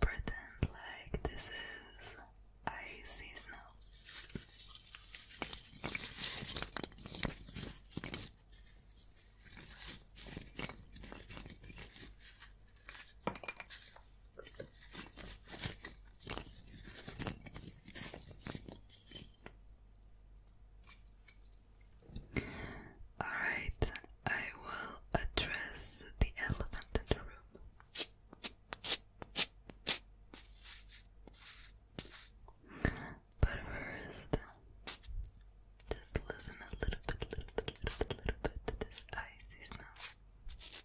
Pretend like this is icy snow. Alright, I will address the elephant in the room. But first, just listen a little bit, little bit, little bit, little bit to this icy snow.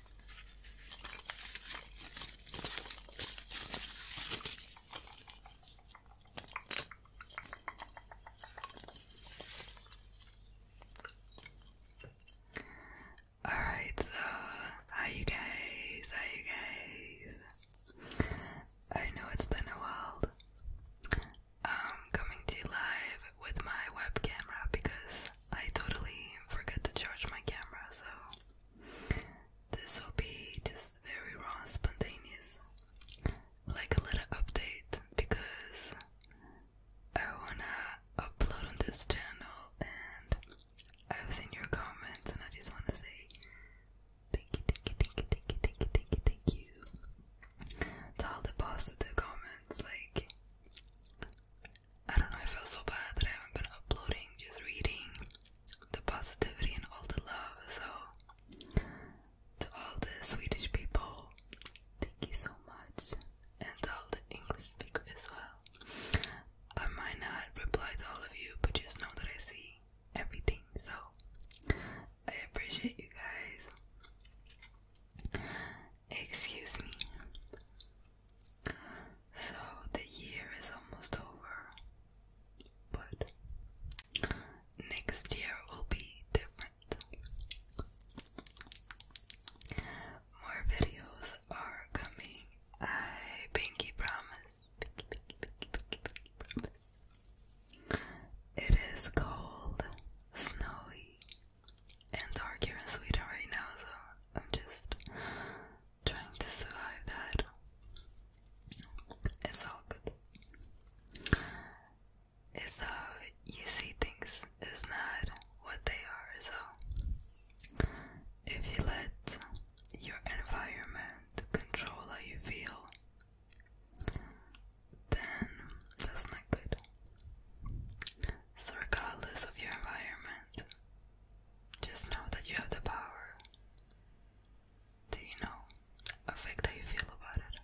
All right, so how you guys? How you guys? I know it's been a while. Um, coming to you live with my web camera because I totally forget to charge my camera, so this will be just very raw, spontaneous, like a little update because I wanna upload on this channel and I've seen your comments and I just wanna say thank you, thank you, thank you, thank you, thank you, thank you, thank you all the positive comments, like I don't know, I feel so bad that I haven't been uploading, just reading the positivity and all the love. So, to all the Swedish people, thank you so much, and all the English speakers as well. I might not reply to all of you, but just know that I see everything. So, I appreciate you guys. Excuse me. So the year is almost over, but next year will be different. More videos are coming. I pinky promise. Pinky, pinky, pinky, pinky, pinky promise. It is cold, snowy, and here and sweeter right now, so I'm just trying to survive that. It's all good. It's how uh, you see things, it's not what they are, so if you let your environment control how you feel, then that's not good. So, regardless of your environment, just know that you have the power to, you know, affect how you feel about it.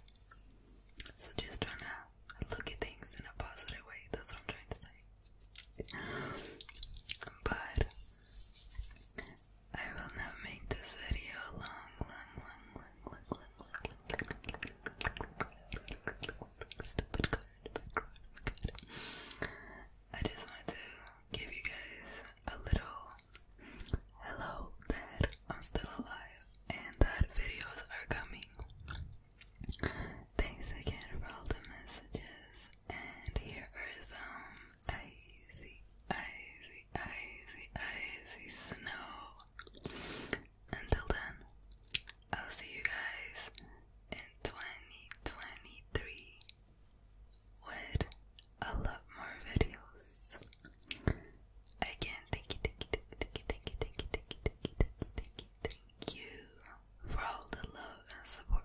So, just trying to look at things in a positive way. That's what I'm trying to say. But I will not make this video long, long, long look, look, look, look. Stupid car in the background. Oh I just wanted to give you guys a little hello that I'm still alive and that videos are coming. Thanks again for all the messages. And here are some icy icy, icy, icy snow. Until then, I'll see you guys in 2023 with a lot more videos. Again, thank you, thank you, thank you, thank you, thank you, thank you, thank you, thank you, thank you, thank you for all the love and support.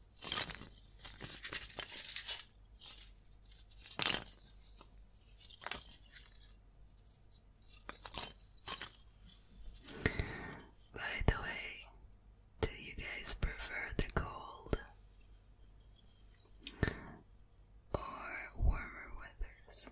By the way, do you guys prefer the cold or warmer weathers?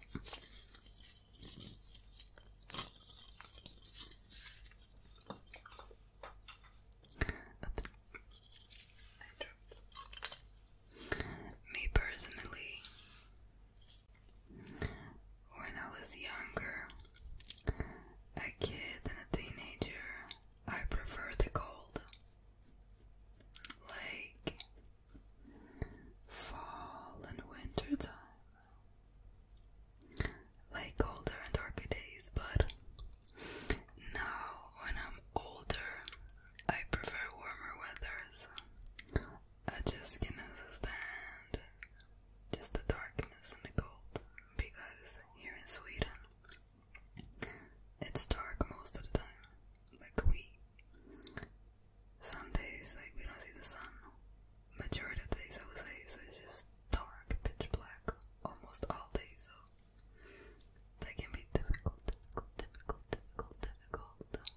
Me personally, when I was younger, a kid and a teenager, I prefer the cold. Like fall and winter time like colder and darker days, but now when I'm older, I prefer warmer weathers. I just can cannot stand just the darkness and the cold because here in Sweden it's dark most of the time, like we some days, like, we don't see the sun. Majority of days, I would say, so it's just dark, pitch black, almost all day, so that can be difficult, difficult, difficult, difficult, difficult.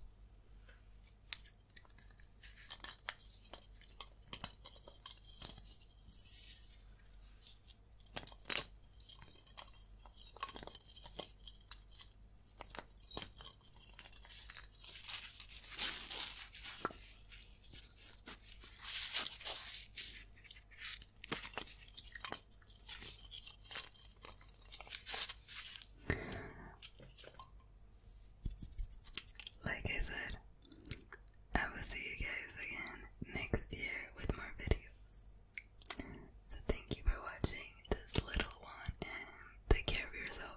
Like I said, I will see you guys again next year with more videos. So thank you for watching this little one and take care of yourself.